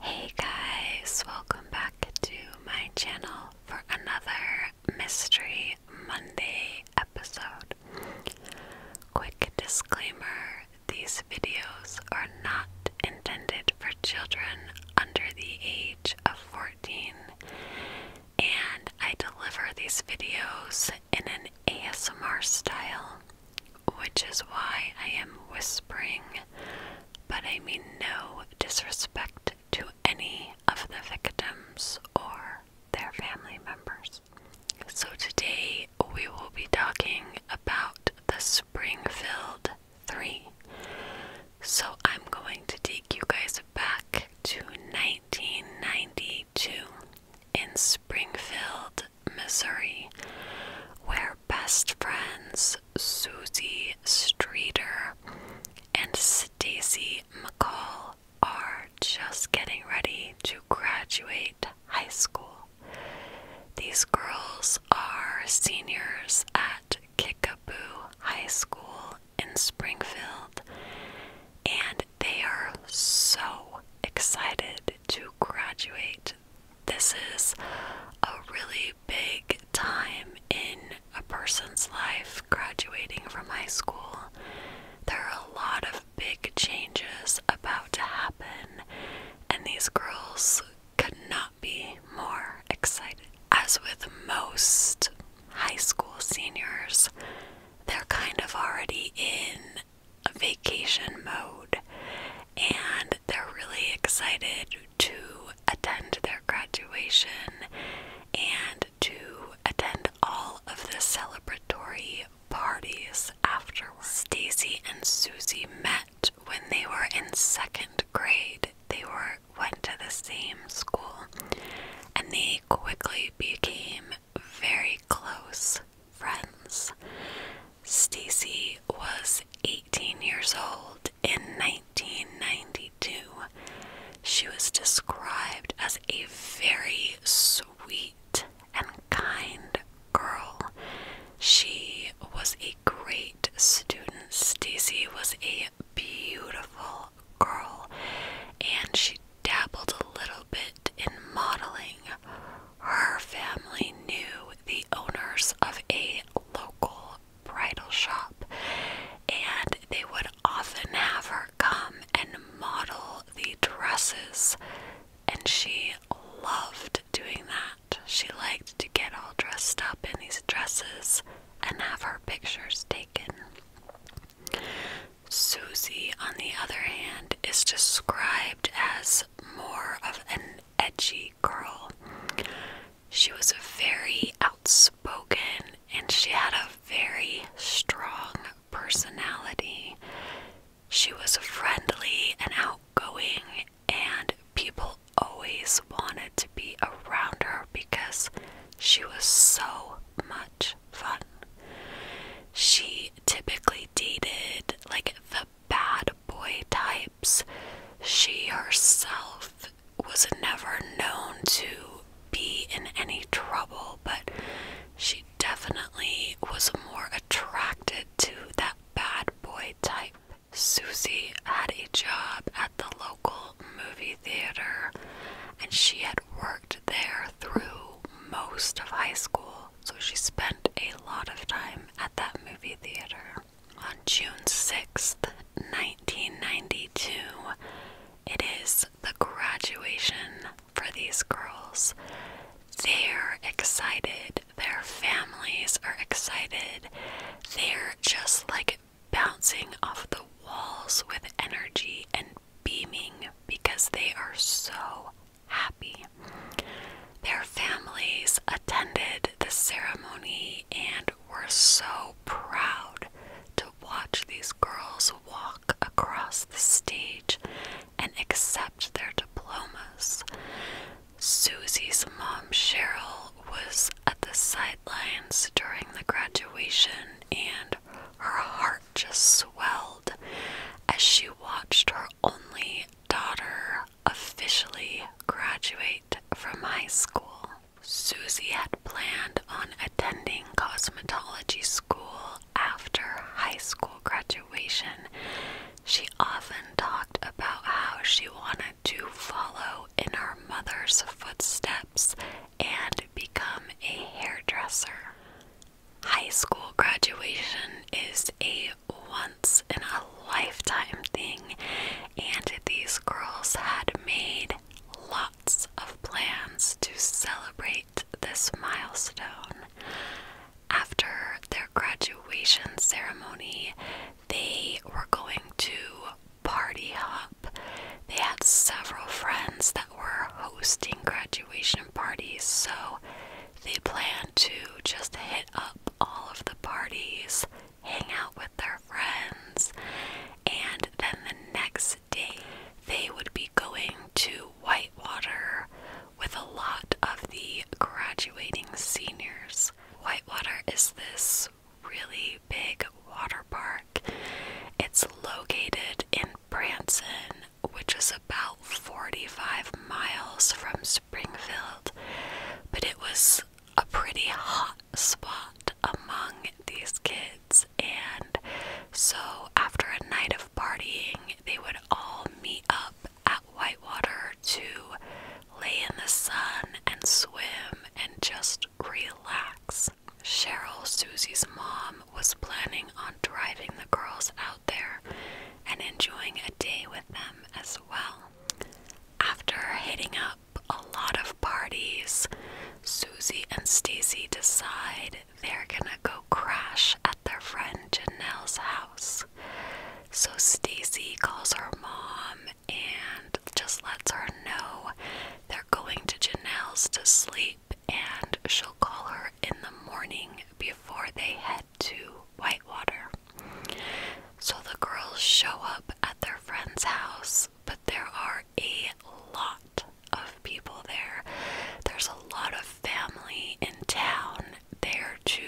Hey guys, welcome back to my channel for another Mystery Monday episode. Quick disclaimer these videos are not intended for children under the age of 14, and I deliver these videos in an ASMR style, which is why I am whispering but I mean no disrespect to any of the victims or their family members. So, today we will be talking about the Springfield Three. So, I'm going to take you guys back to 1992 in Springfield, Missouri, where best friends as Susie Streeter and Stacy McCall are just getting ready to graduate high school. These girls are seniors at Kickapoo High School in Springfield, and they are so excited to graduate this is a really big time in a person's life graduating from high school. There are a lot of big changes about to happen, and these girls could not be more excited. As with most high school seniors, they're kind of already in vacation mode and they're really excited to attend their graduation and to attend all of the celebratory parties afterwards. Stacy and Susie met when they were in second grade. They were went to the same school and they quickly became very close friends. Stacy was 18 years old in 1992, she was described as a very sweet and kind girl. She was a great student. Stacy was a beautiful girl, and she dabbled a little bit in modeling. Her family knew the owners of a local bridal shop, and they would often have her come and model the dresses, and she loved doing that. She liked to get all dressed up in these dresses and have her pictures taken. Susie, on the other hand, is described as more of an edgy girl. She was very outspoken and she had a very strong personality. She was friendly and outgoing, and people always wanted to be around her because she was so much fun. She typically dated like the bad boy type she herself was never known to be in any trouble, but she definitely was more attracted to that bad boy type. Susie had a job at the local movie theater and she had worked there through most of high school, so she spent a lot of time at that movie theater. On June 6th, 1992, it is the graduation for these girls. They're excited, their families are excited, they're just like bouncing off the walls with energy and beaming because they are so happy. Their families attended the ceremony and were so proud to watch these girls walk across the stage and accept their diplomas. Susie's mom, Cheryl, was at the sidelines during the graduation and her heart just swelled as she watched her only daughter, officially graduate from high school. Susie had planned on attending cosmetology school after high school graduation. She often talked about how she wanted to follow in her mother's footsteps and become a hairdresser. High school graduation is a once in a lifetime thing, and these girls had made lots of plans to celebrate this milestone. After their graduation ceremony, they were going to party hop. They had several friends that were hosting graduation parties, so they planned to just hit up all of the parties, hang out with their friends, and then the next day they would be going to Whitewater with a lot of the graduating seniors. Whitewater is this really big water park. It's located in Branson, which is about 45 miles from Springfield, but it was a pretty hot spot among these kids, and so after a night of partying, they would all meet up at Whitewater to lay in the sun and swim and just relax. Cheryl, Susie's mom, was planning on driving the girls out there and enjoying a day with them as well. After hitting up a lot of parties, Susie and Stacy decide they're gonna go crash at their friend Janelle's house. So Stacy calls her mom and just lets her know they're going to Janelle's to sleep and she'll call her in the morning before they head to Whitewater. So the girls show up at their friend's house but there are a lot of people there. There's a lot of family in town there to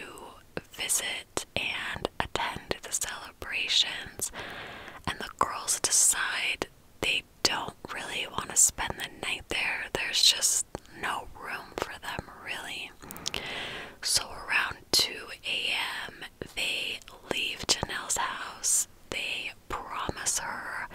visit and attend the celebrations, and the girls decide they don't really want to spend the night there. There's just no room for them, really. So, around 2 a.m., they leave Janelle's house. They promise her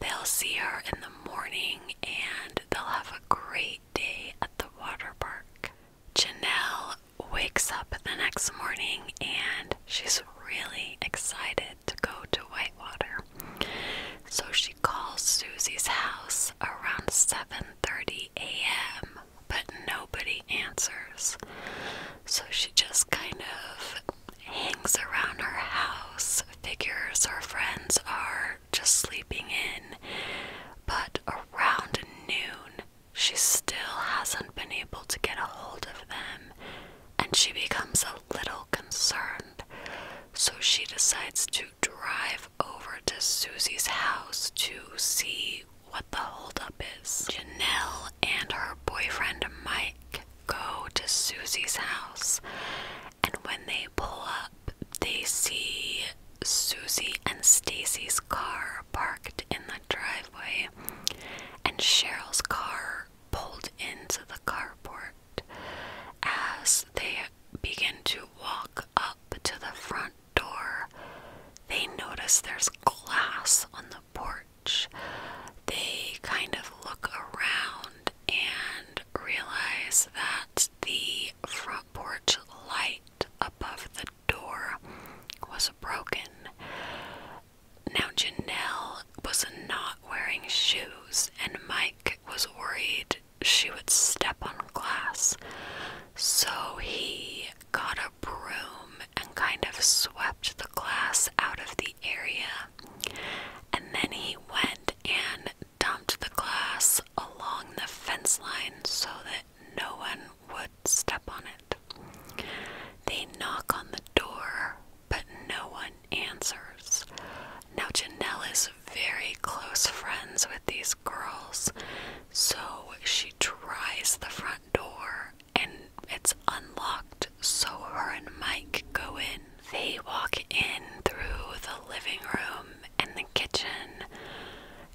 they'll see her in the morning and they'll have a great day at the water park. Janelle wakes up the next morning and she's really excited to go to Whitewater. So she calls Susie's house around 7:30 a.m but nobody answers. So she just kind of hangs around her house, figures her friends are just sleeping in. But around noon, she still hasn't been able to get a hold of them, and she becomes a little concerned. So she decides to drive over to Susie's house to see what the holdup is. Janelle and her boyfriend Mike go to Susie's house, and when they pull up, they see Susie and Stacy's car parked in the driveway, and Cheryl's car pulled into the carport. As they begin to walk up to the front door, they notice there's glass on the porch they kind of look around and realize that the front porch light above the door was broken. Now, Janelle was not wearing shoes, and Mike was worried she would step on glass. So he got broom and kind of swept the glass out of the area. And then he went and dumped the glass along the fence line so that no one would step on it. They knock on the door, but no one answers. Now, Janelle is very close friends with these girls, so she tries the front door and it's unlocked, so her and Mike go in. They walk in through the living room and the kitchen.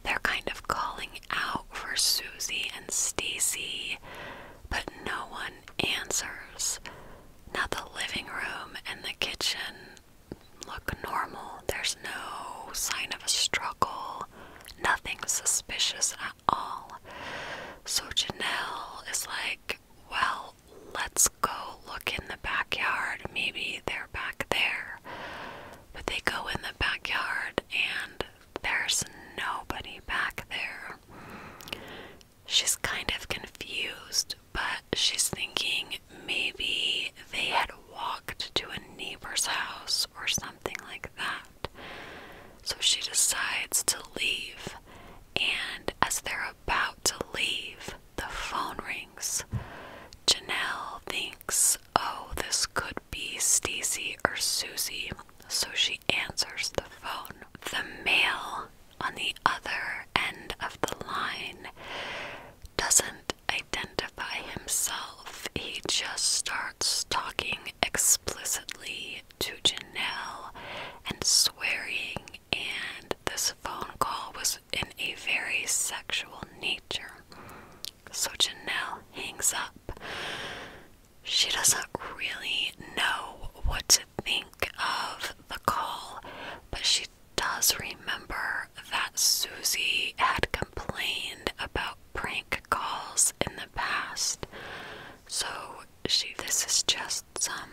They're kind of calling out for Susie and Stacy, but no one answers. Now the living room and the kitchen look normal. There's no sign of a struggle, nothing suspicious all. So Janelle is like, well, let's go look in the backyard. Maybe they're back there. But they go in the backyard and there's nobody back there. She's kind of confused, but she's thinking maybe they had walked to a neighbor's house or something like that. So she decides to leave, and as they're about to leave, the phone rings. Janelle thinks, "Oh, this could be Stacy or Susie." So she answers the phone. The male on the other end of the line doesn't identify himself. He just starts talking explicitly to Janelle and swearing, and this phone call was in a very sexual nature. So Janelle hangs up. She doesn't really know what to think of the call, but she does remember that Susie had complained about prank calls in the past. So she this is just some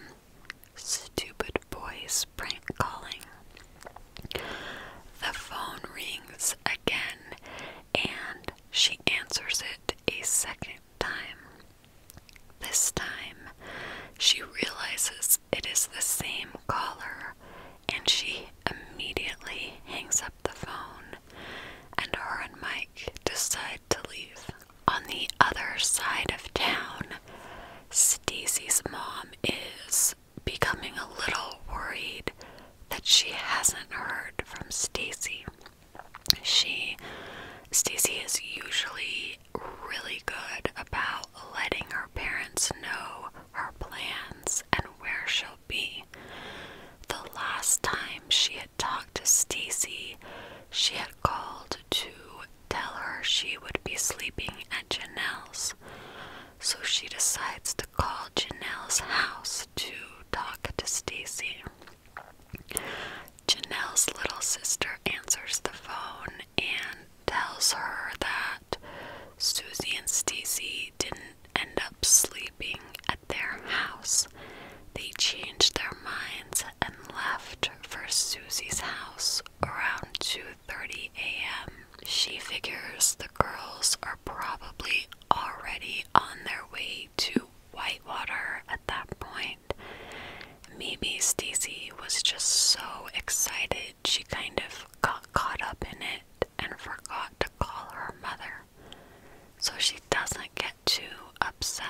stupid boys prank calling. The phone rings again and she answers it a second time. This time she realizes it is the same caller and she immediately hangs up the phone and her and Mike decide to leave. On the other side of town, Stacy's mom is becoming a little worried that she hasn't heard from Stacy. She Stacy is usually really good about letting her parents know her plans and where she'll be. The last time she had talked to Stacy. She had called to tell her she would be sleeping at Janelle's. So she decides to call Janelle's house to talk to Stacy. Janelle's little sister answers the phone and tells her that Susie and Stacy didn't end up sleeping at their house, they changed their minds and left for Susie's house around 2:30 a.m. She figures the girls are probably already on their way to Whitewater at that point. Maybe Stacy was just so excited she kind of got caught up in it and forgot to call her mother so she doesn't get too upset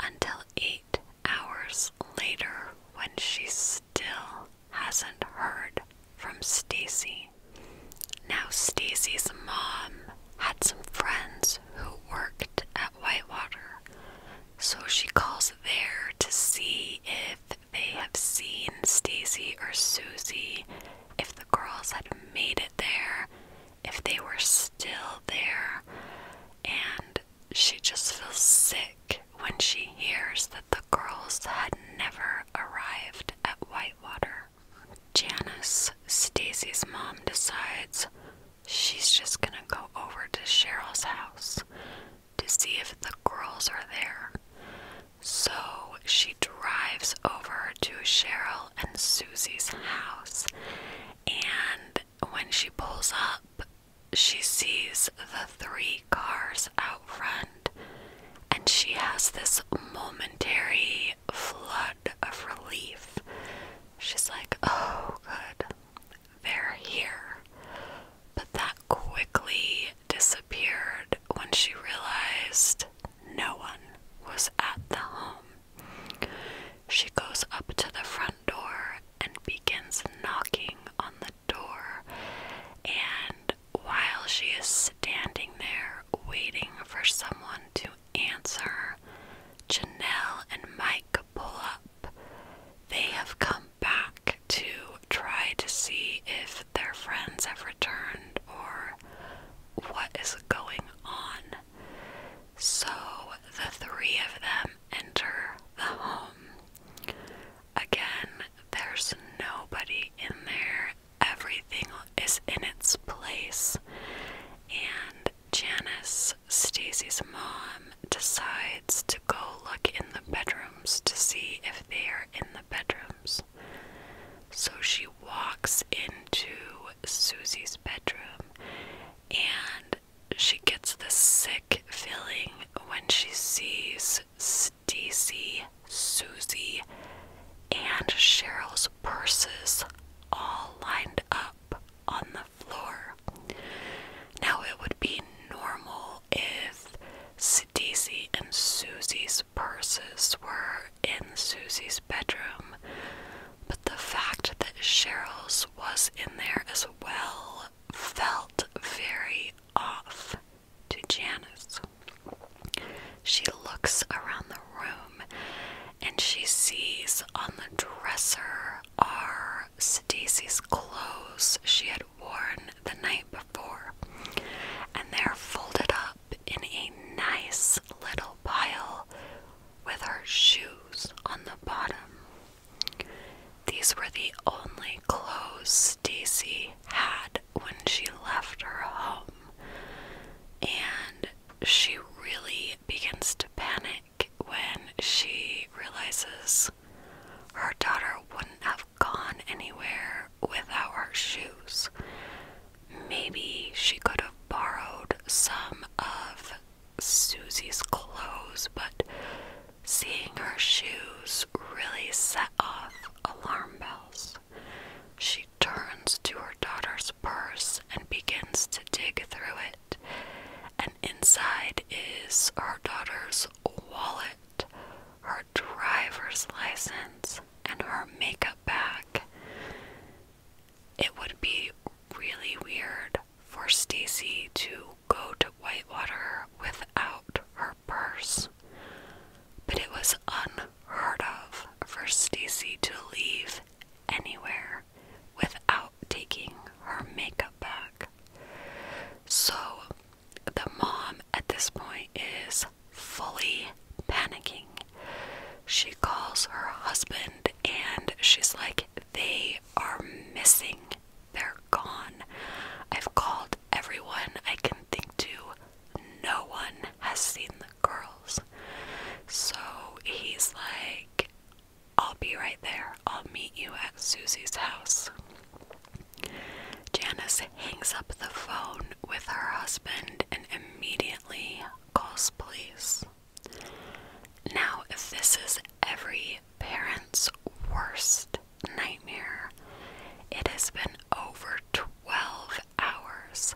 until eight hours later when she still hasn't heard from Stacy. Now, Stacy's mom had some friends who worked at Whitewater, so she calls there to see if they have seen Stacy or Susie, if the girls had made it there, if they were still there. And she just feels sick when she hears that the girls had never arrived at Whitewater. Janice, Stacy's mom, decides she's just gonna go over to Cheryl's house to see if the girls are there. So she drives over to Cheryl and Susie's house. And when she pulls up, she sees the three cars out front, and she has this momentary flood of relief. She's like, Oh, good, they're here. But that quickly disappeared when she realized no one was at the home. She goes up to the front door and begins knocking on the door. And while she is standing there waiting for someone to answer, Janelle and Mike pull up. They have come back to try to see if their friends have returned or what is going on. So the three of them enter the home. Again, there's nobody in there. Everything is in its place. And Janice, Stacy's mom, decides to go look in the bedrooms to see if they are in the bedrooms. So she walks into Susie's bedroom and she gets the sick feeling when she sees Stacy, Susie, and Cheryl's purses all lined up on the floor. Now, it would be normal if Stacy and Susie's purses were in Susie's bedroom, the fact that Cheryl's was in there as well felt very off to Janice. She looks around the room and she sees on the dresser are Stacy's clothes she had worn the night before, and they're folded up in a nice little pile with her shoes on the bottom. These were the only clothes Stacy had when she left her home, and she really begins to panic when she realizes her daughter wouldn't have gone anywhere without her shoes maybe she could have borrowed some of Susie's clothes, but seeing her shoes really set off alarm bells. She turns to her daughter's purse and begins to dig through it, and inside is her daughter's wallet, her driver's license, and her makeup bag. It would be really weird for Stacy to go to Whitewater without her purse, but it was unheard of for Stacy to leave anywhere without taking her makeup bag. So the mom at this point is fully panicking she calls her husband and she's like, They are missing. They're gone. I've called everyone I can think to. No one has seen the girls. So he's like, I'll be right there. I'll meet you at Susie's house. Janice hangs up the phone with her husband and immediately calls police. Now, if this is every parent's worst nightmare, it has been over 12 hours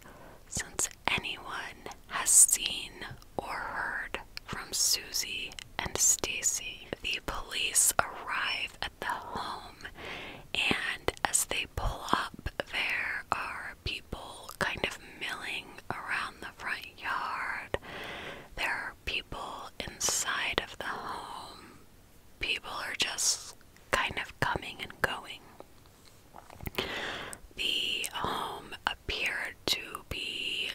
since anyone has seen or heard from Susie and Stacy. The police arrive at the home, and as they pull up, there are people kind of milling around the front yard. There are people inside of the home. People are just kind of coming and going. The home appeared to be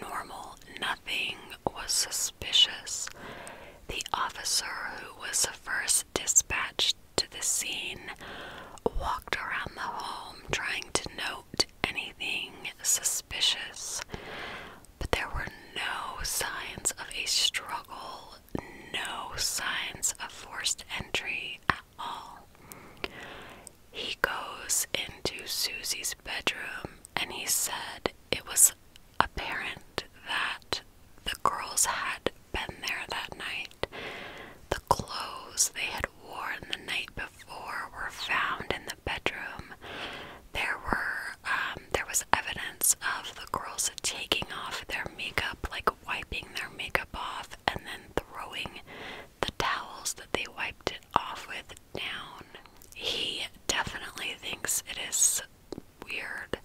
normal, nothing was suspicious. The officer who was first dispatched to the scene walked around the home trying to note anything suspicious, but there were no signs of a struggle, no signs of forced entry at all. He goes into Susie's bedroom and he said it was apparent that the girls had been there that night. The clothes they had had worn the night before were found in the bedroom. There were um, there was evidence of the girls taking off their makeup, like wiping their makeup off, and then throwing the towels that they wiped it off with down. He definitely thinks it is weird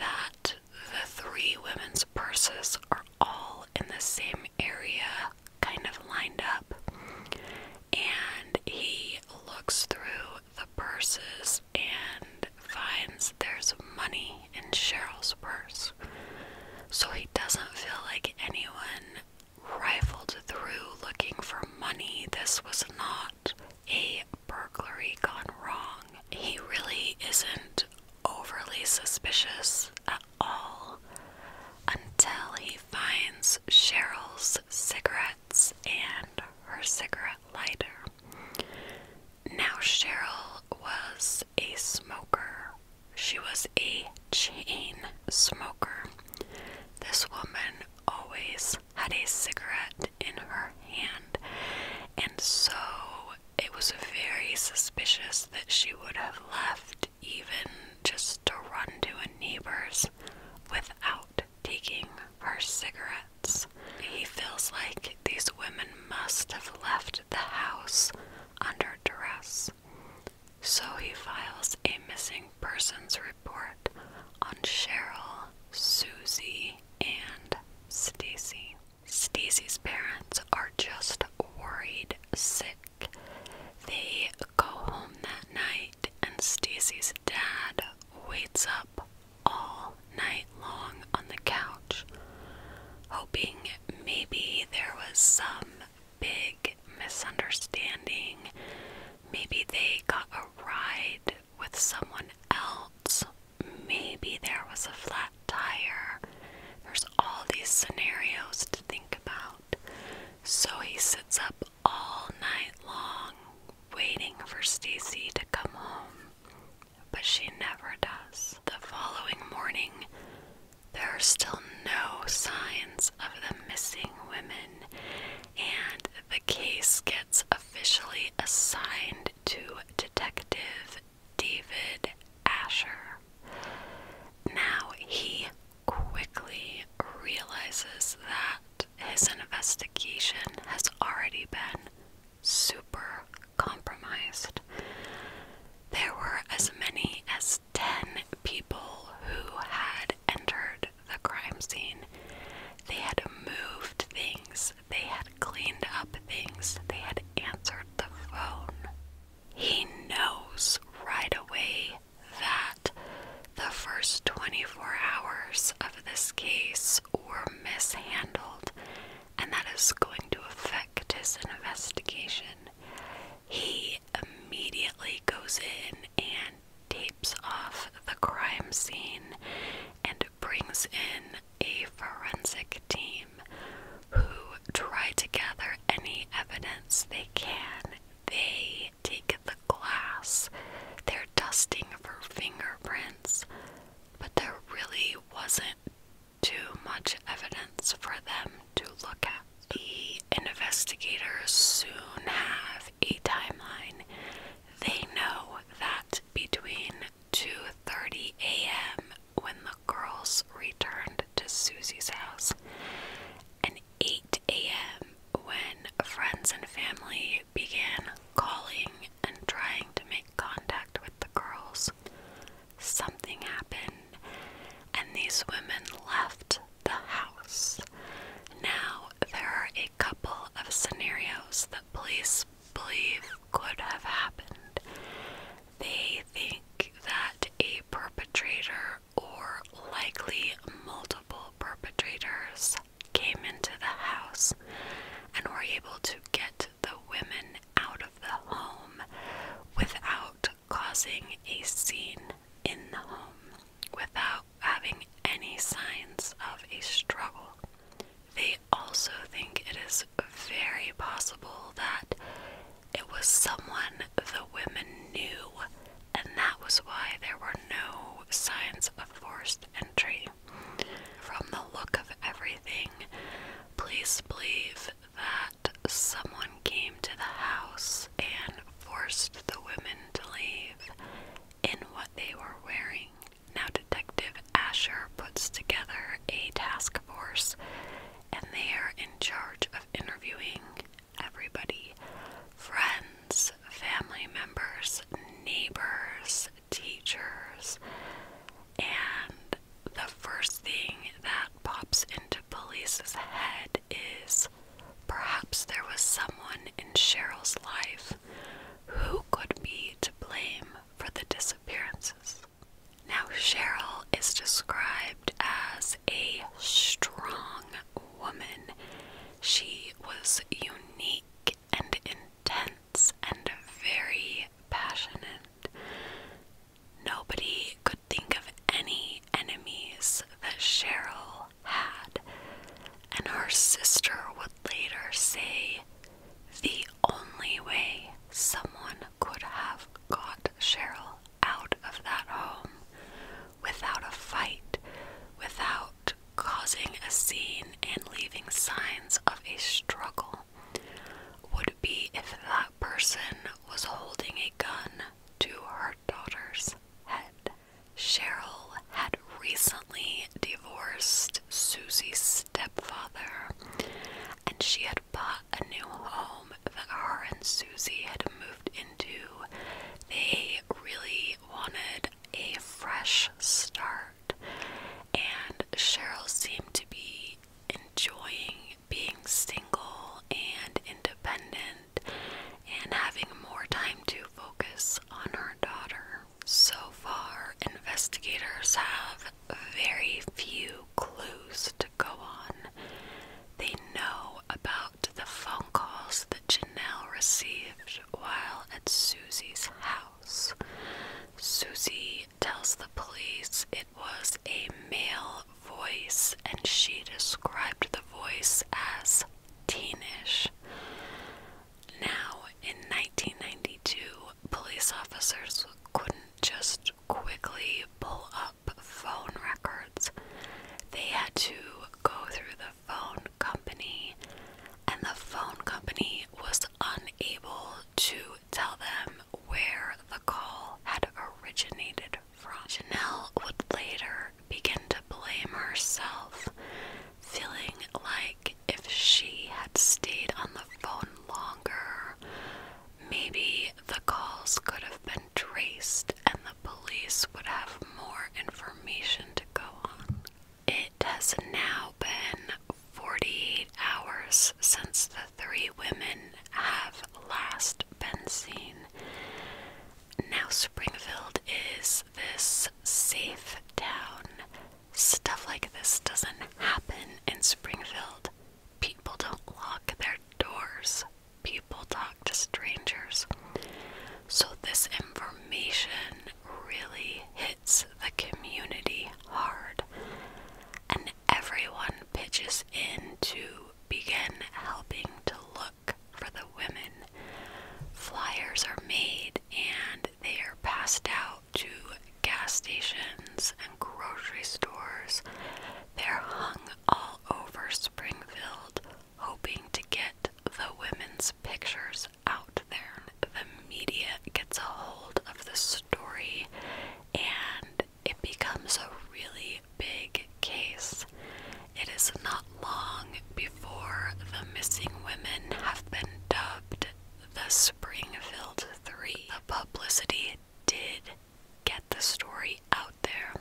that the three women's purses are all in the same area kind of lined up. And he looks through the purses and finds there's money in Cheryl's purse. So he doesn't feel like anyone rifled through looking for money. This was not a burglary gone wrong. He really isn't overly suspicious at all until he finds Cheryl's cigarettes and her cigarette lighter. Now, Cheryl was a smoker. She was a chain smoker. This woman always had a cigarette in her hand, and so it was very suspicious that she would have left even just to run to a neighbor's without taking her cigarettes. He feels like these women must have left the house under duress. So he files a missing persons report on Cheryl, Susie, and Stacy. Stacy's parents are just worried sick they go home that night, and Stacy's dad waits up all night long on the couch, hoping maybe there was some big misunderstanding. Maybe they got a ride with someone else. Maybe there was a flat tire. There's all these scenarios to think about. So he sits up all night long, waiting for Stacy to come home, but she never does. The following morning, there are still no signs of the missing women, and the case gets officially assigned to Detective David Asher. Now he quickly realizes that his investigation has already been super compromised. There were as many as 10 people who had entered the crime scene. They had moved things, they had cleaned up things, they had answered the phone. He knows right away that the first 24 hours of this case were mishandled, and that is going to affect his investigation. He immediately goes in and tapes off the crime scene and brings in a forensic team who try to gather any evidence they can. They take the glass, they're dusting for fingerprints, but there really wasn't too much evidence for them to look at. The investigators soon have a timeline. They know that between 2:30 a.m. when the girls returned to Susie's house and 8 a.m. when friends and family began calling and trying to make contact with the girls. Something happened, and these women left the house. Now, there are a couple of scenarios that police believe could have happened. They think that a perpetrator or likely multiple perpetrators came into the house and were able to get the women out of the home without causing a scene in the home, without having any signs of a struggle. They also think it is very possible that it was someone the women knew, and that was why there were no signs of forced entry. From the look of everything, police believe that someone came to the house and forced the women to leave in what they were wearing. Now, Detective Asher puts together a task force, and they are in charge of interviewing everybody friends, family members, neighbors, teachers. And the first thing that pops into police's head is perhaps there was someone in Cheryl's life who could be to blame for the disappearances. Now, Cheryl is described as a strong woman. She was unique and intense and very passionate. Nobody could think of any enemies that Cheryl had, and her sister would later say the only way someone could have got Cheryl out of that home without a fight, without causing a scene and leaving signs of a struggle would be if that person was holding a gun to her daughter's head. Cheryl had recently divorced Susie's stepfather, and she had bought a new home that her and Susie had moved in into, they really wanted a fresh start, and Cheryl seemed to be enjoying being single and independent and having more time to focus on her daughter. So far, investigators have very few clues to go on. They know about the phone calls that Janelle received while at Susie's house. Susie tells the police it was a male voice and she described the voice as teenish. Now, in 1992, police officers couldn't just quickly pull up phone records. They had to go through the phone company, and the phone company was unable to tell them where the call had originated from. Janelle would later begin to blame herself, feeling like if she had stayed on the phone longer, maybe the calls could have been traced and the police would have more information to go on. It has now been 48 hours since the three women have last been seen. Now, Springfield is this safe town. Stuff like this doesn't happen in Springfield. People don't lock their doors people talk to strangers. So, this information really hits the community hard, and everyone pitches in to begin helping to look for the women. Flyers are made and they are passed out to gas stations and grocery stores. They're hung all over Springfield, hoping to get the women's pictures out there. The media gets a hold of the story and it becomes a really big case. It is not long before the missing women have been dubbed the Springfield Three. The publicity did get the story out there,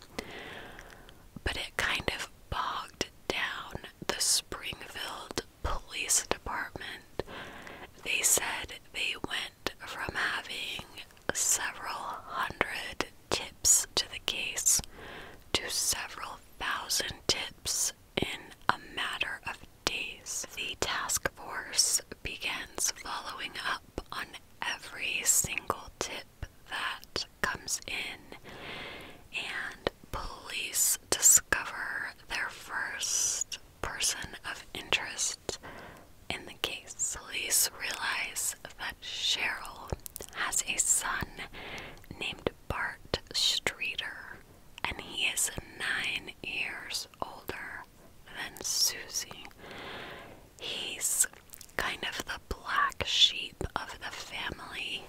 but it kind of bogged down the Springfield Police Department. They said they went from having several hundred tips to the case to several thousand tips in a matter of days. The task force begins following up on every single tip that comes in, and police discover their first person of interest in the case. Police realize that Cheryl has a son named Bart Streeter, and he is nine years older than Susie. He's kind of the black sheep of the family.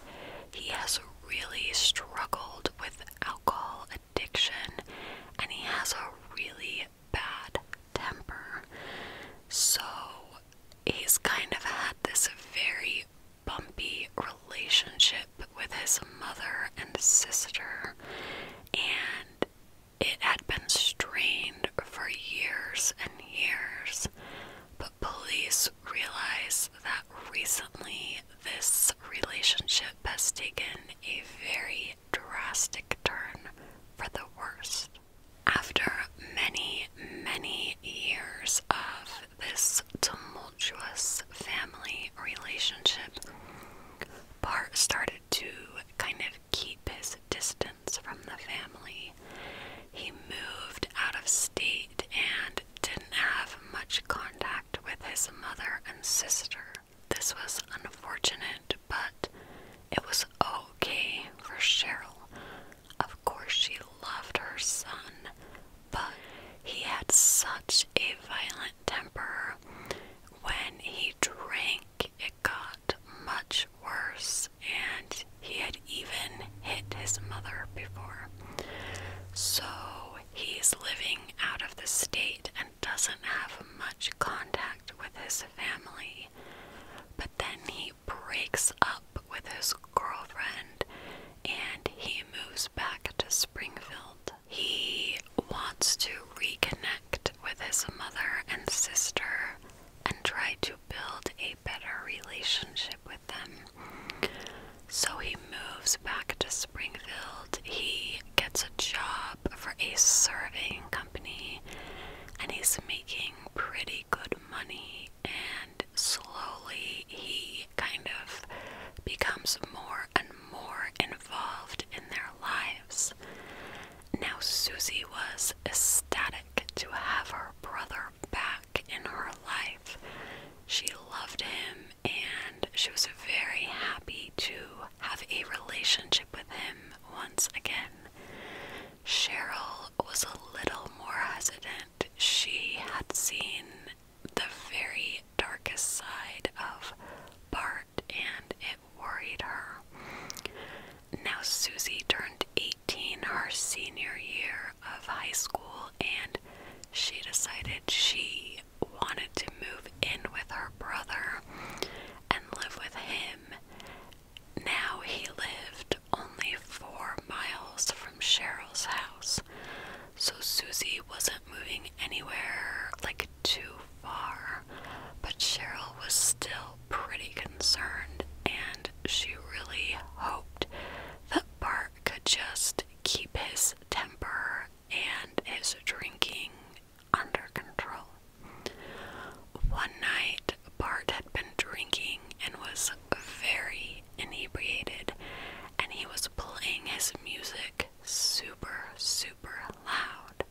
He has really struggled with alcohol addiction and he has a really bad temper. So he's kind of had this very bumpy relationship with his mother and sister, and it had been strained for years and years. But police realize that recently this relationship has taken a very drastic turn for the worst. After many, many years of this tumultuous family relationship, Bart started to kind of keep his distance from the family. He moved out of state and didn't have much contact with his mother and sister. This was unfortunate, but it was okay for Cheryl. Of course, she loved her son, but he had such a violent temper. When he drank, it got much worse, and he had even hit his mother before. So he's living out of the state and doesn't have much contact with his family. But then he breaks up with his girlfriend and he moves back to Springfield. He wants to reconnect with his mother and sister and try to build a better relationship with them. So he moves back to Springfield. He gets a job for a surveying company and he's making pretty good money and slowly he kind of becomes more and more involved in their lives. Now Susie was ecstatic to have her brother back in her life. She loved him and she was very happy to have a relationship with him once again. Cheryl was a little more hesitant. She had seen the very darkest side of Bart and it worried her. Now Susie turned 18 18 her senior year of high school, and she decided she wanted to move in with her brother and live with him. Now he lived only four miles from Cheryl's house, so Susie wasn't moving anywhere like too far, but Cheryl was still pretty concerned and she really hoped that Bart could just keep his temper and his drinking under control. One night, Bart had been drinking and was very inebriated, and he was playing his music super, super loud.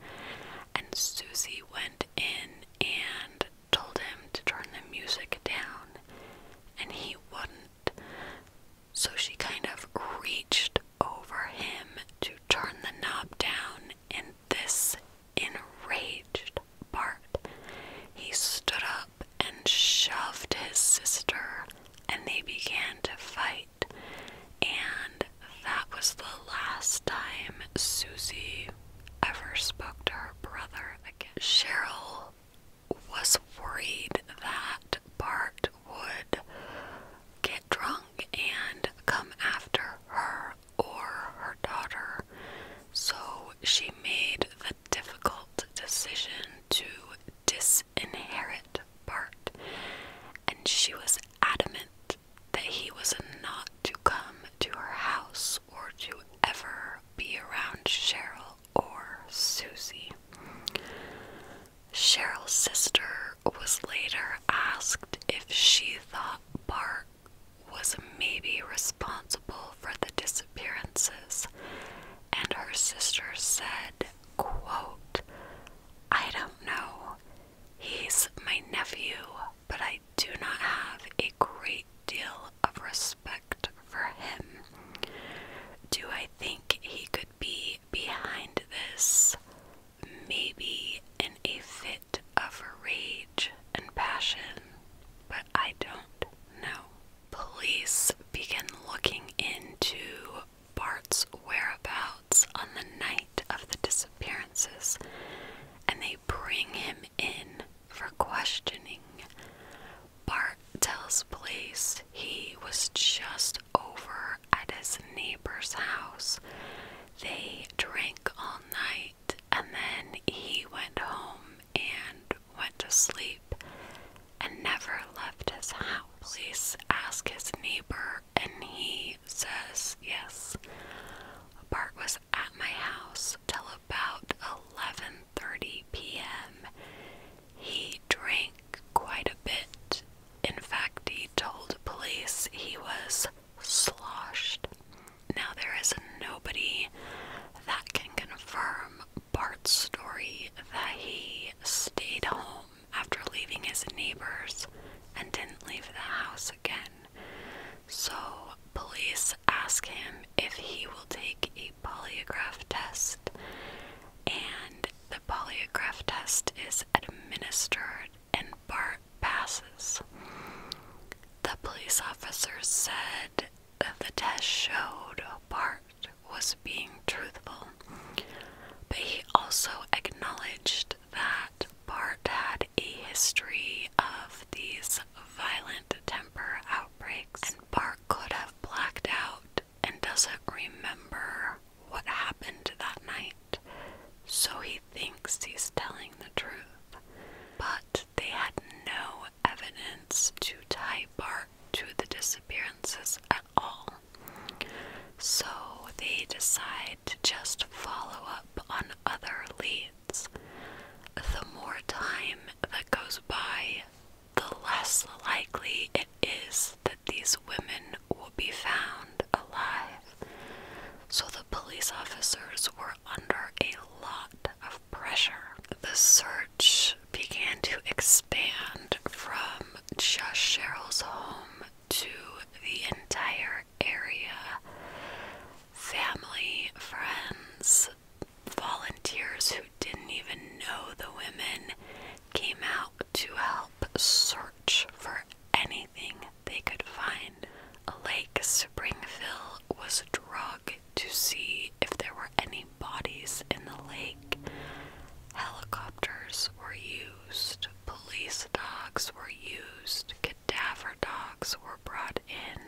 And Susie went in and told him to turn the music down, and he wouldn't. So she kind of reached over him to turn the knob down, In this enraged part, He stood up and shoved his sister, and they began to fight. And that was the last time Susie ever spoke to her brother again. Cheryl was worried that Bart would get drunk and come after her or her daughter, so she made the difficult decision to disinherit Bart, and she was adamant that he was not to come to her house or to ever be around Cheryl or Susie. Cheryl's sister was later asked if she thought Park was maybe responsible for the disappearances, and her sister said, quote, I don't know. He's my nephew, but I do not have a great deal of respect for him. Do I think he could be behind this? Maybe in a fit of rage and passion, but I don't know. Police begin looking into Bart's whereabouts on the night of the disappearances and they bring him in for questioning. Bart tells police he was just over at his neighbor's house. They drank all night and then he went home and went to sleep and never left his house. Police ask his neighbor and he says yes. Bart was at my house till about 11:30 p.m. He drank quite a bit. In fact, he told police he was sloshed. Now there is nobody that can confirm Bart's story that he stayed home after leaving his neighbors and didn't leave the house again. So, police ask him if he will take a a polygraph test, and the polygraph test is administered, and Bart passes. The police officer said that the test showed Bart was being truthful, but he also acknowledged that Bart had a history of these violent temper outbreaks, and Bart could have blacked out and doesn't remember what happened that night, so he thinks he's telling the truth. But they had no evidence to tie Bart to the disappearances at all. So they decide to just follow up on other leads. The more time that goes by, the less likely it is that these women will be found alive. So the police officers were under a lot of pressure. The search began to expand from just Cheryl's home to the entire area. Family, friends, volunteers who didn't even know the women came out to help search for anything they could find. Lake Springfield was drug to see if there were any bodies in the lake. Helicopters were used, police dogs were used, cadaver dogs were brought in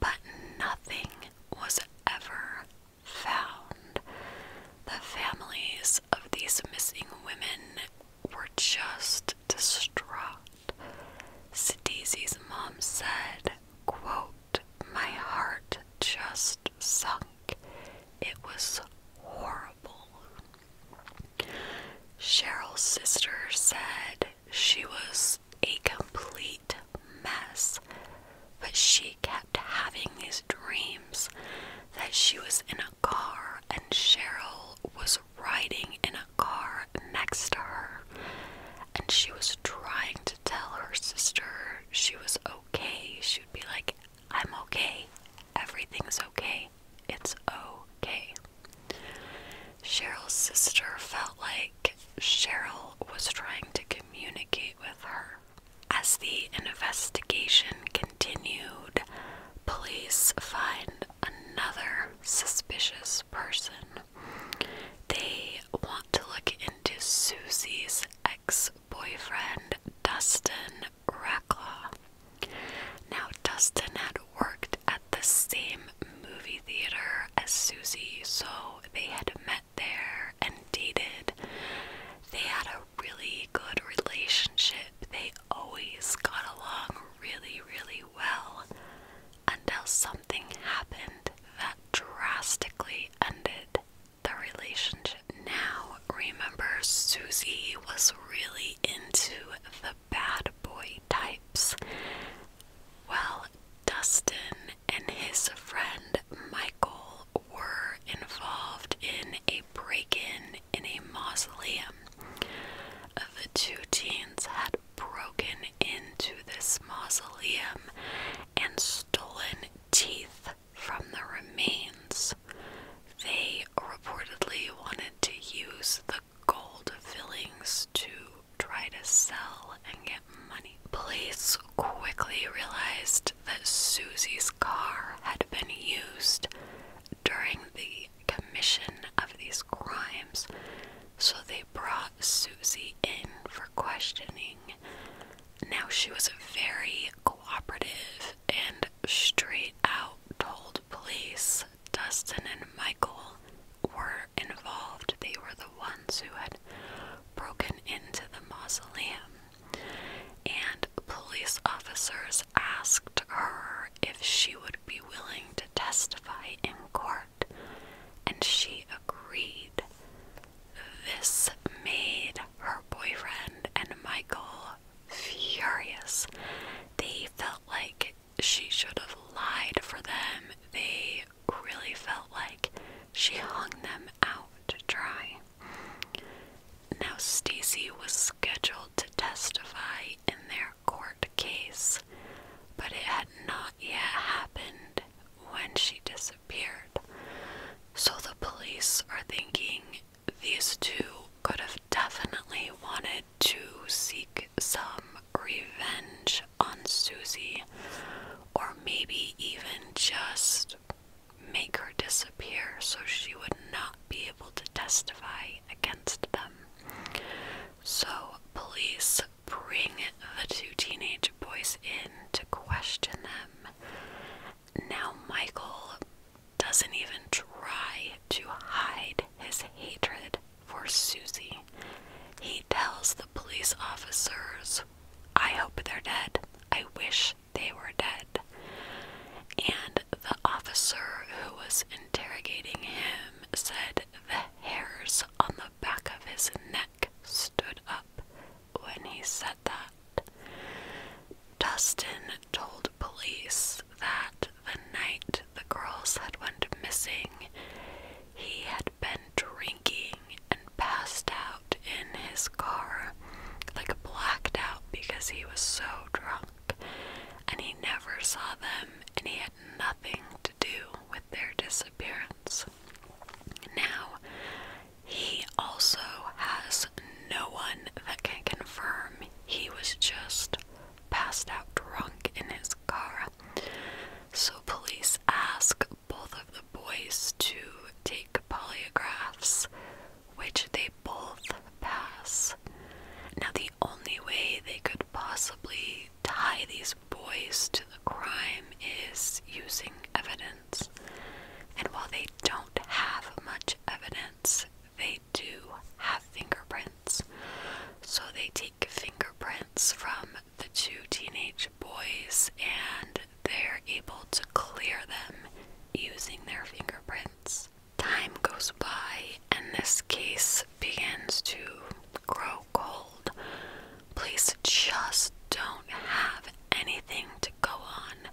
but nothing was ever found. The families of these missing women were just distraught. Sadie's mom said, quote, My heart just sunk. It was horrible. Cheryl's sister said she was a complete mess, but she kept having these dreams that she was in a car and Cheryl was riding in a car next to her, and she was trying to tell her sister she was okay. She would be like, I'm okay, everything's okay, it's okay. Cheryl's sister felt like Cheryl was trying to communicate with her. As the investigation continued, police find another suspicious person. They want to look into Susie's ex boyfriend, Dustin Racklaw. Now, Dustin had worked at the same movie theater as Susie, so they had met there and dated. They had a really good relationship. They always got along really, really well until something happened that drastically ended the relationship. Now, remember, Susie was really into the bad boy types. Well, Dustin and his friend Michael were involved in a break in in a mausoleum. The two teens had broken into this mausoleum and stolen teeth from the remains. They reportedly wanted to use the gold fillings to try to sell and get. Police quickly realized that Susie's car had been used during the commission of these crimes, so they brought Susie in for questioning. Now she was very cooperative and straight out told police Dustin and Michael were involved. They were the the ones who had broken into the mausoleum, and police officers asked her if she would be willing to testify in court, and she agreed. This made her boyfriend and Michael furious. They felt like she should have lied for them. They really felt like she hung them out to dry. Now, Stacy was scheduled to testify in their court case, but it had not yet happened when she disappeared. So the police are thinking these two could have definitely wanted to seek some revenge on Susie or maybe even just make her disappear so she would not be able to testify against them. So, police bring the two teenage boys in to question them. Now, Michael doesn't even try to hide his hatred for Susie. He tells the police officers I hope they're dead. I wish they were dead. And the officer who was interrogating him said the hairs on the back of his neck stood up when he said that. Dustin told police that the night the girls had went missing, he had been drinking and passed out in his car, like blacked out because he was so drunk. And he never saw them, and he had nothing to do with their disappearance. Now, he also has no one that can confirm he was just passed out drunk in his car. So, police ask both of the boys to take polygraphs, which they both pass. Now, the only way they could possibly tie these boys to the crime is using evidence. And while they don't have much evidence, they do have fingerprints. So they take fingerprints from the two teenage boys and they're able to clear them using their fingerprints. Time goes by, and this case begins to grow cold. Police just don't have anything to go on.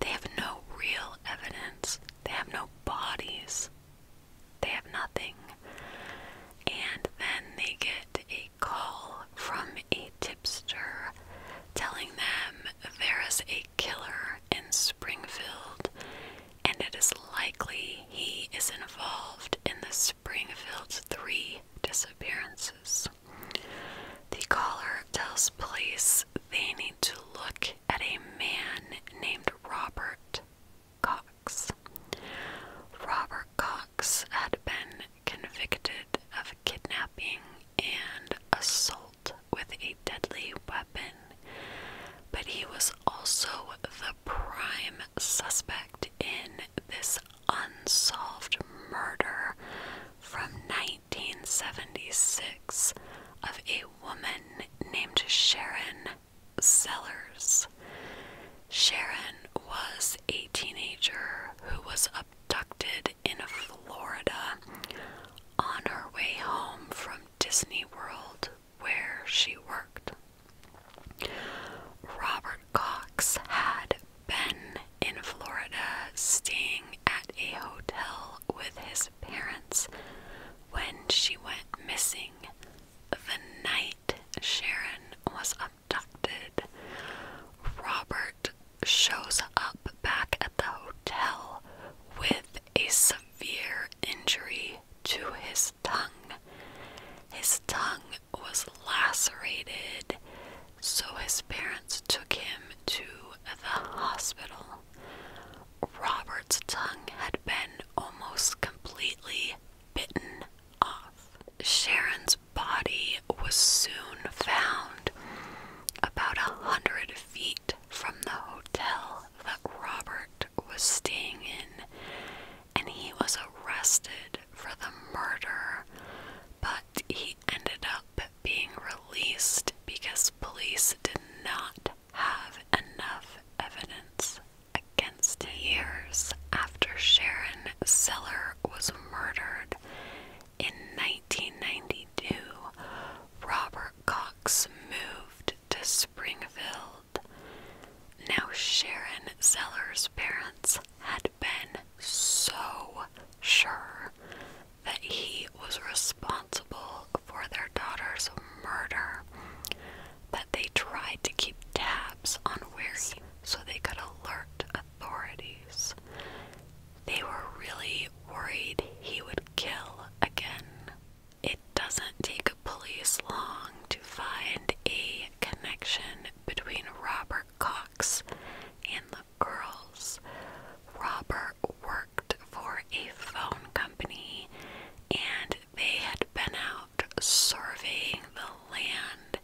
They have no real evidence, they have no bodies, they have nothing. And then they get a call from a tip telling them there is a killer in Springfield and it is likely he is involved in the Springfield's three disappearances. The caller tells police they need to look at a man named Robert Cox. Robert Cox had been convicted of kidnapping and assault with a deadly weapon, but he was also the prime suspect in this unsolved murder from 1976 of a woman named Sharon Sellers. Sharon was a teenager who was abducted in Florida on her way home from Disney World, where she worked. Robert Cox had been in Florida staying at a hotel with his parents when she went missing. The night Sharon was up. Robert shows up back at the hotel with a severe injury to his tongue. His tongue was lacerated, so his parents took him to the hospital. Robert's tongue had been almost completely bitten off. Sharon's body was soon found about a hundred feet from the hotel that Robert was staying in, and he was arrested for the murder, but he ended up being released because police did not have enough evidence against him. Years after Sharon Seller was murdered, in 1992, Robert Cox moved to Springfield. Now, Sharon Zeller's parents had been so sure that he was responsible for their daughter's murder that they tried to keep tabs on where he so they could alert authorities. They were really worried he would kill again. It doesn't take police long to find a connection between Robert Cox and the girls. Robert worked for a phone company and they had been out surveying the land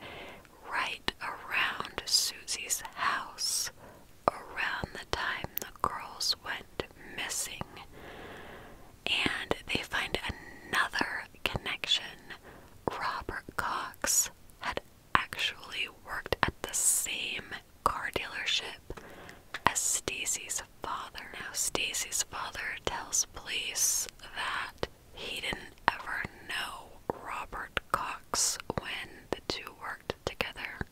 right around Susie's house around the time the girls went missing. And they find another connection. Robert Cox had actually worked at the same car dealership as Stacy's father. Now Stacy's father tells police that he didn't ever know Robert Cox when the two were together.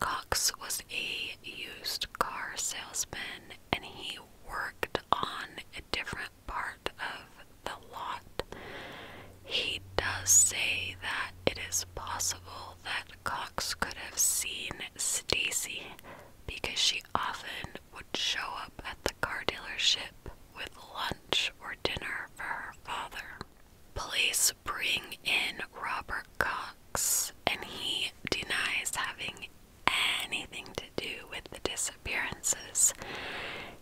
Cox was a used car salesman and he worked on a different part of the lot. He does say that it is possible that Cox could have seen Stacy because she often would show up at the car dealership with lunch or dinner for her father. Police bring in Robert Cox, and he denies having anything to do with the disappearances.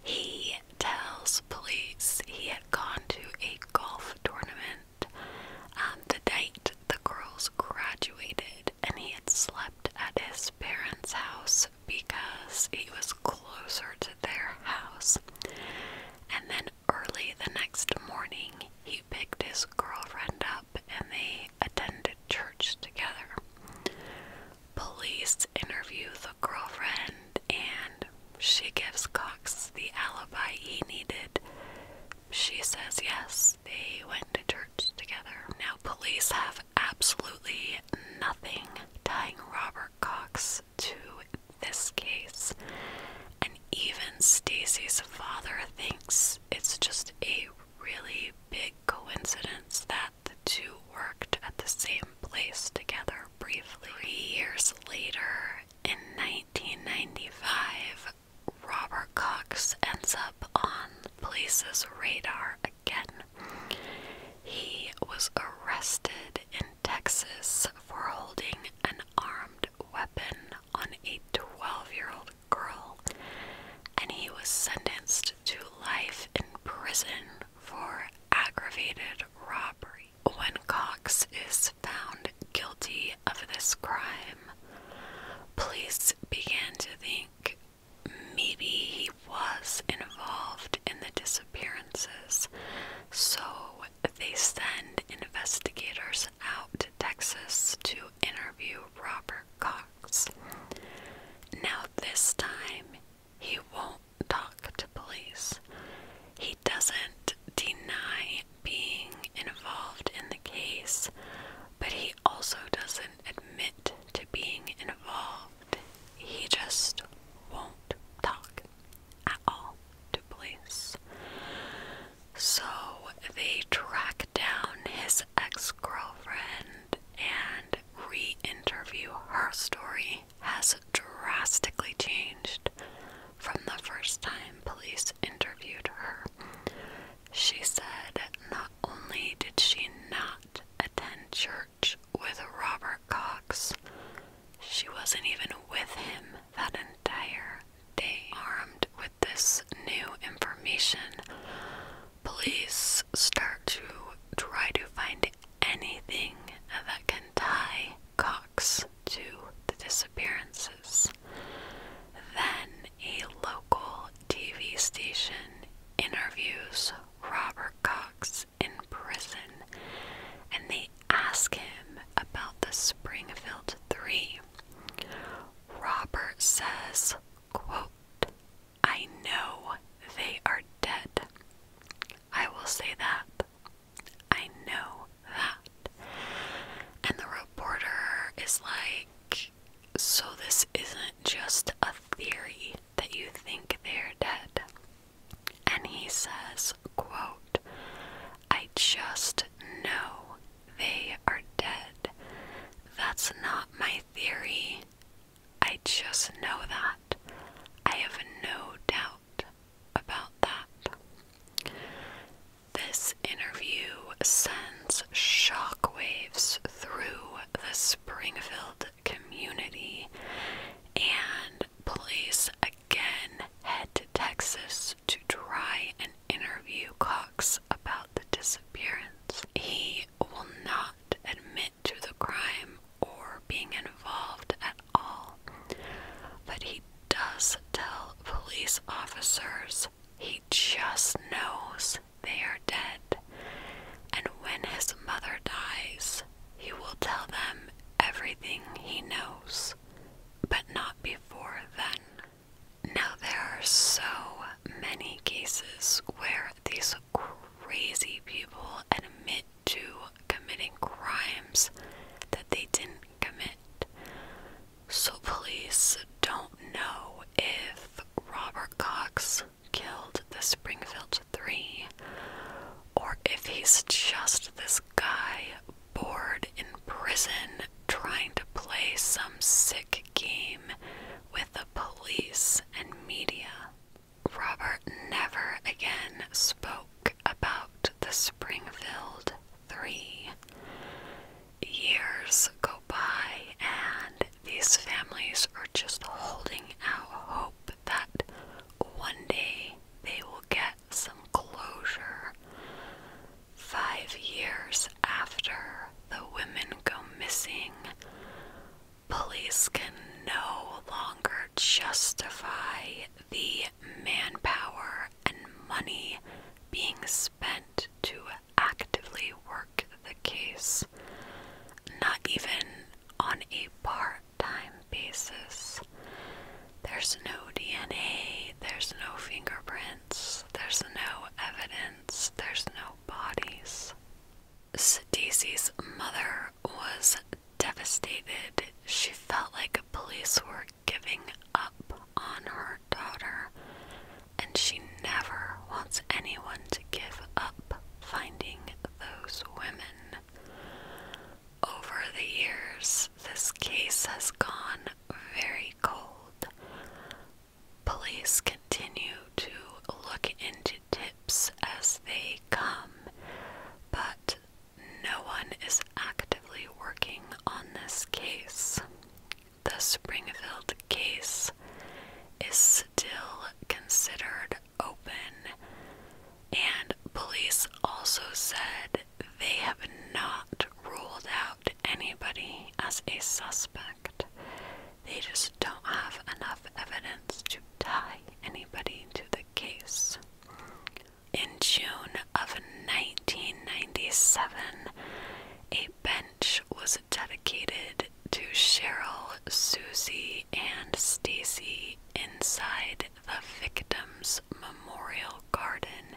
He tells police he had gone to a golf tournament um, the night the girls graduated, and he had slept at his parents' house because he was closer to their house and then early the next morning he picked his girlfriend up and they attended church together. Police interview the girlfriend and she gives Cox the alibi he needed. She says yes, they went to church together. Now, police have absolutely nothing tying Robert Cox to this case. And even Stacy's father thinks it's just a really big coincidence that the two worked at the same place together briefly. years later, in 1995, Robert Cox ends up on police's radar again. He was arrested in Texas, for holding an armed weapon on a 12 year old girl, and he was sentenced to life in prison for aggravated robbery. When Cox is found guilty of this crime, police began to think maybe he was involved in the disappearances, so they send investigators out to Texas to interview Robert Cox. Now, this time, he won't talk to police. He doesn't deny being involved in the case, but he also doesn't admit to being involved. He just won't talk at all to police. So they track down his ex girlfriend and re interview her story has drastically changed from the first time police interviewed her. She said not only did she not attend church with Robert Deborah Cox. She wasn't even with him that entire day. Armed with this new information, police start to try to find anything that can tie Cox to the disappearances. Then a local TV station interviews Robert Cox in prison, and they ask him about the Springfield Three. Robert says, quote, I know they are dead. I will say that. I know that. And the reporter is like, So this isn't just a theory that you think they're dead. And he says, quote, I just know they are dead. That's not my theory. I just know that. I have no doubt about that. This interview sends shockwaves through the Springfield community and police again head to Texas to try and interview Cox about the disappearance. He will not admit to the crime or being involved at all, but he does tell police officers he just knows they are dead. And when his mother dies, he will tell them everything he knows but not before then. Now, there are so many cases where these crazy people admit to committing crimes that they didn't commit. So, police don't know if Robert Cox killed the Springfield Three or if he's just this guy bored in prison trying to play some sick game with the police and media. Robert never again spoke about the Springfield Three. Years go by, and these families are just holding out hope that one day they will get some closure. Five years after the women go missing, police can no longer justify the manpower and money being spent to actively work the case, not even on a part time basis. There's no DNA, there's no fingerprints, there's no evidence, there's no bodies. Sadie's mother was devastated. She felt like police were giving up on her daughter, and she never wants anyone to give up finding those women. Over the years, this case has gone very cold. Police continue to look into tips as they come, but no one is actively working on this case. The Springfield case is still considered open, and police also said they have not ruled out anybody as a suspect. They just don't have enough evidence to tie anybody to the case. In June of 1997, a bench was dedicated to Cheryl, Susie, and Stacy inside the Victims Memorial Garden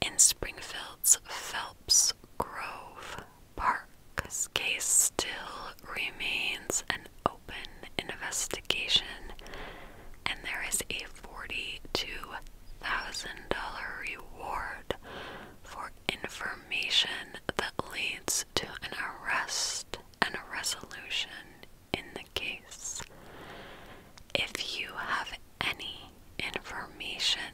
in Springfield's Phelps Grove Park's case still remains an open investigation, and there is a $42,000 reward for information that leads to an arrest and a resolution in the case. If you have any information,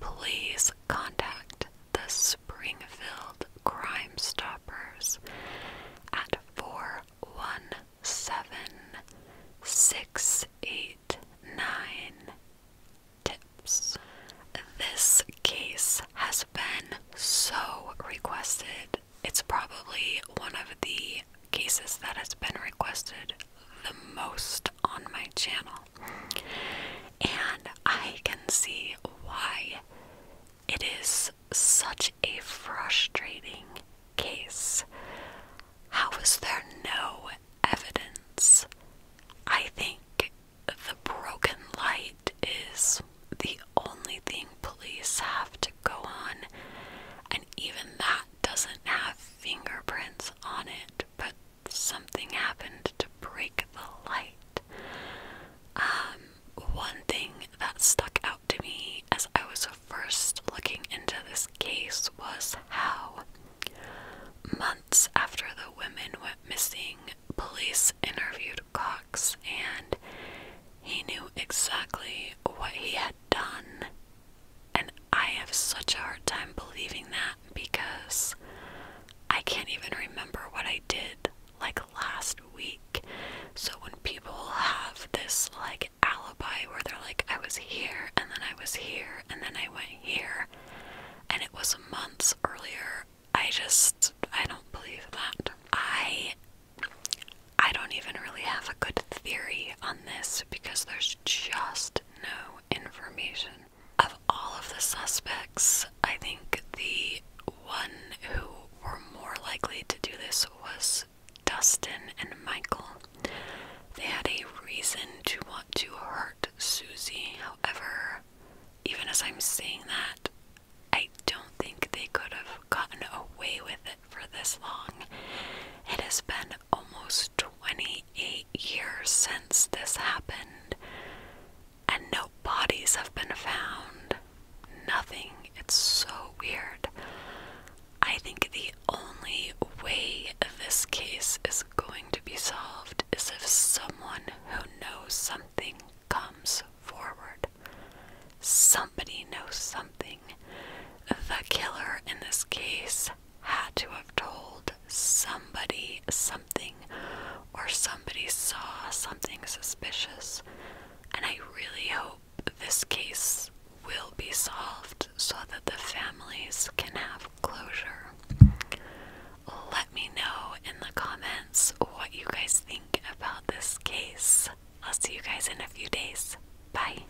please contact the Springfield Crime Stoppers at 417 tips. This case has been so requested. It's probably one of the cases that has been requested the most on my channel. And I can see why it is such a frustrating case. How is there no evidence? I think the broken light is the only thing police have to go on, and even that doesn't have fingerprints on it, but something happened to break the light. Um, one thing that stuck out to me as I was first looking into this case was how months after the women went missing, police interviewed Cox and he knew exactly what he had done and I have such a hard time believing that because I can't even remember what I did like last week. So when people have this like alibi where they're like, I was here and then I was here and then I went here and it was months earlier, I just, I don't believe that. I I don't even really have a good theory on this because there's just no information. Of all of the suspects, I think the one who were more likely to do this was Dustin and Michael. They had a reason to want to hurt Susie. However, even as I'm saying that, I don't think they could have gotten away with it for this long. It has been almost 28 years since this happened, and no bodies have been found. Nothing. It's so weird. I think the only way this case is going to be solved is if someone who knows something comes forward. Somebody knows something. The killer in this case had to have told somebody something, or somebody saw something suspicious. And I really hope this case will be solved so that the families can have closure. Let me know in the comments what you guys think about this case. I'll see you guys in a few days. Bye.